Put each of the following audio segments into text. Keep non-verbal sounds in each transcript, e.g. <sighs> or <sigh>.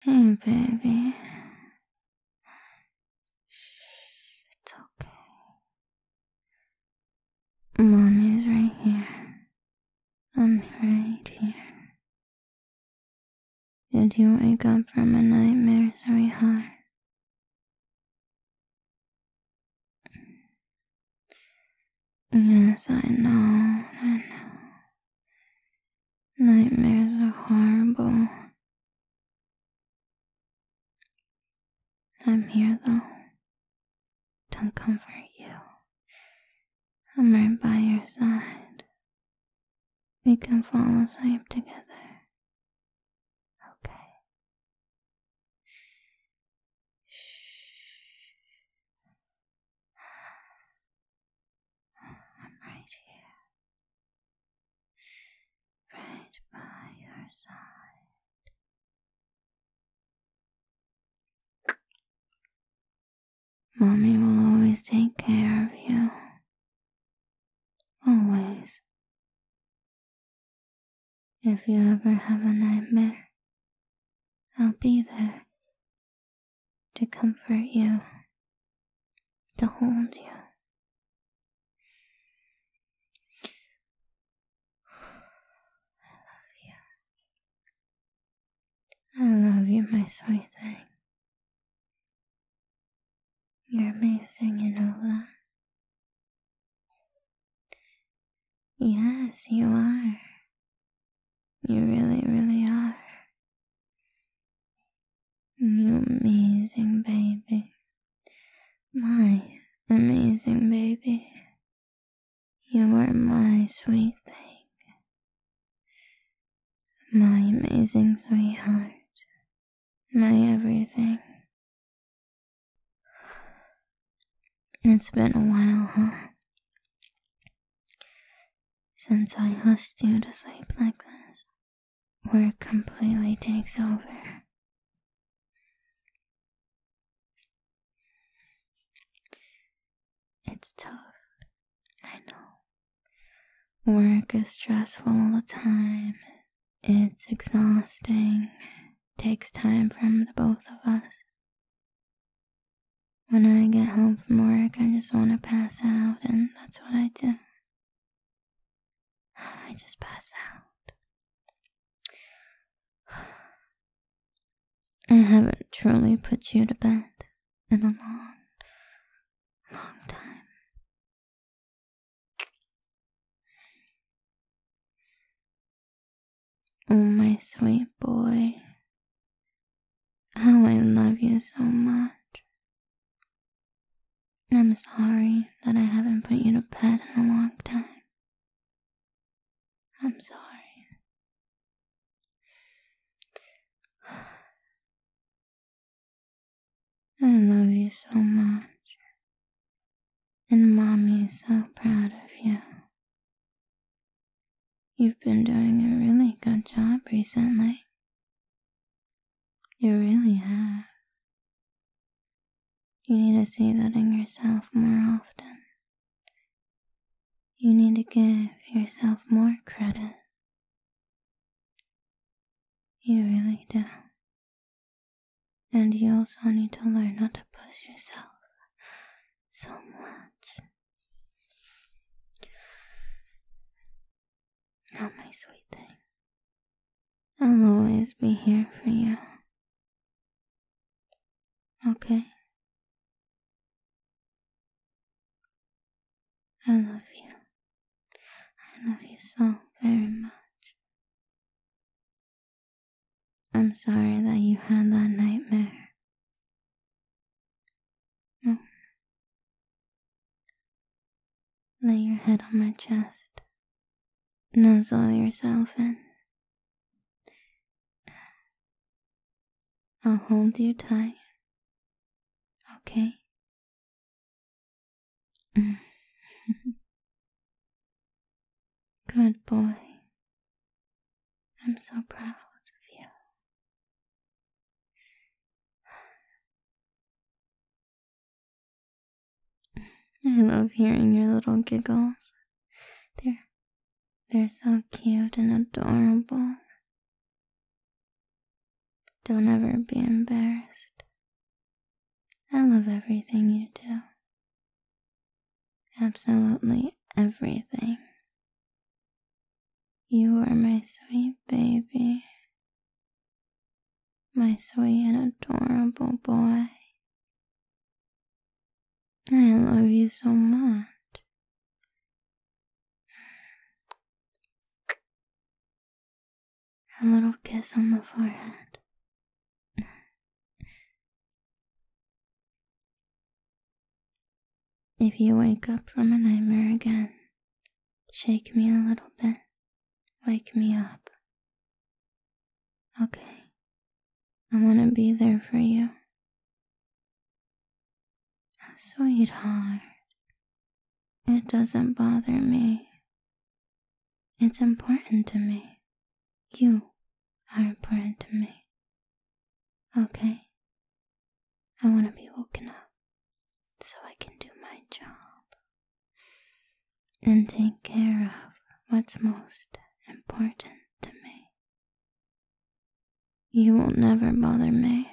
Hey, hmm, baby. it's okay. Mommy's right here. I'm right here. Did you wake up from a nightmare, sweetheart? Yes, I know, I know. Nightmares are horrible. I'm here though, do to comfort you. I'm right by your side. We can fall asleep together. Okay. Shh. I'm right here, right by your side. Mommy will always take care of you. Always. If you ever have a nightmare, I'll be there to comfort you, to hold you. I love you, my sweet thing. You're amazing, you Yes, you are. You really, really are. You amazing baby. My amazing baby. You are my sweet thing. My amazing sweetheart. My everything. It's been a while, huh? Since I hushed you to sleep like this, work completely takes over. It's tough, I know. Work is stressful all the time. It's exhausting. Takes time from the both of us. When I get home from work, I just want to pass out, and that's what I do. <sighs> I just pass out. <sighs> I haven't truly put you to bed in a long, long time. Oh, my sweet boy, how oh, I love you so much. I'm sorry that I haven't put you to bed in a long time. I'm sorry. I love you so much. And mommy is so proud of you. You've been doing a really good job recently. You really have. You need to see that in yourself more often. You need to give yourself more credit. You really do. And you also need to learn not to push yourself so much. Oh, my sweet thing. I'll always be here for you. Okay? I love you. I love you so very much. I'm sorry that you had that nightmare. Lay your head on my chest. Nuzzle yourself in. I'll hold you tight. Okay? <laughs> Good boy. I'm so proud of you. <sighs> I love hearing your little giggles. They're they're so cute and adorable. Don't ever be embarrassed. I love everything you do. Absolutely everything. You are my sweet baby, my sweet and adorable boy. I love you so much. A little kiss on the forehead. If you wake up from a nightmare again, shake me a little bit, wake me up. Okay, I want to be there for you. Ah, sweetheart, it doesn't bother me. It's important to me. You are important to me. Okay? I want to be woken up so I can do my job and take care of what's most important to me. You will never bother me.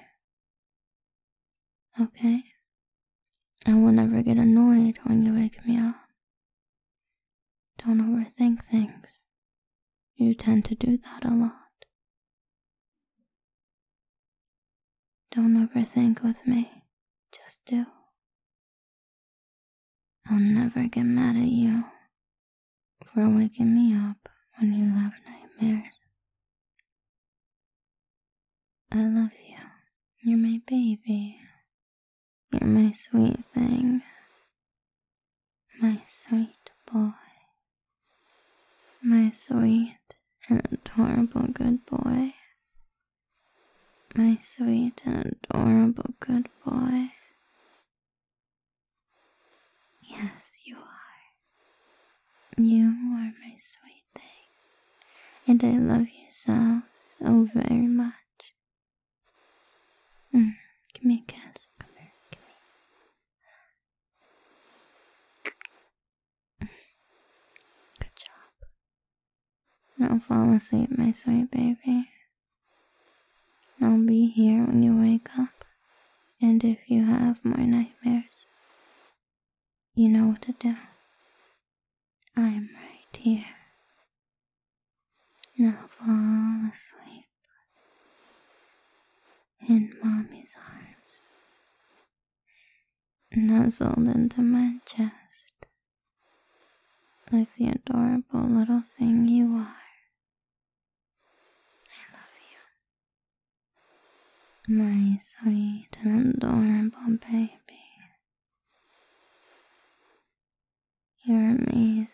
Okay? I will never get annoyed when you wake me up. Don't overthink things. You tend to do that a lot. Don't overthink with me. Just do. I'll never get mad at you for waking me up when you have nightmares. I love you. You're my baby. You're my sweet thing, my sweet boy, my sweet and adorable good boy, my sweet and adorable good boy. Yes, you are. You are my sweet thing, and I love you so, so very much. Mm, give me a kiss. Come here, give me. Good job. Now fall asleep, my sweet baby. I'll be here when you wake up. And if you have more nightmares, you know what to do. I am right here. Now fall asleep in mommy's arms, nuzzled into my chest, like the adorable little thing you are. I love you, my sweet and adorable baby. You're amazing.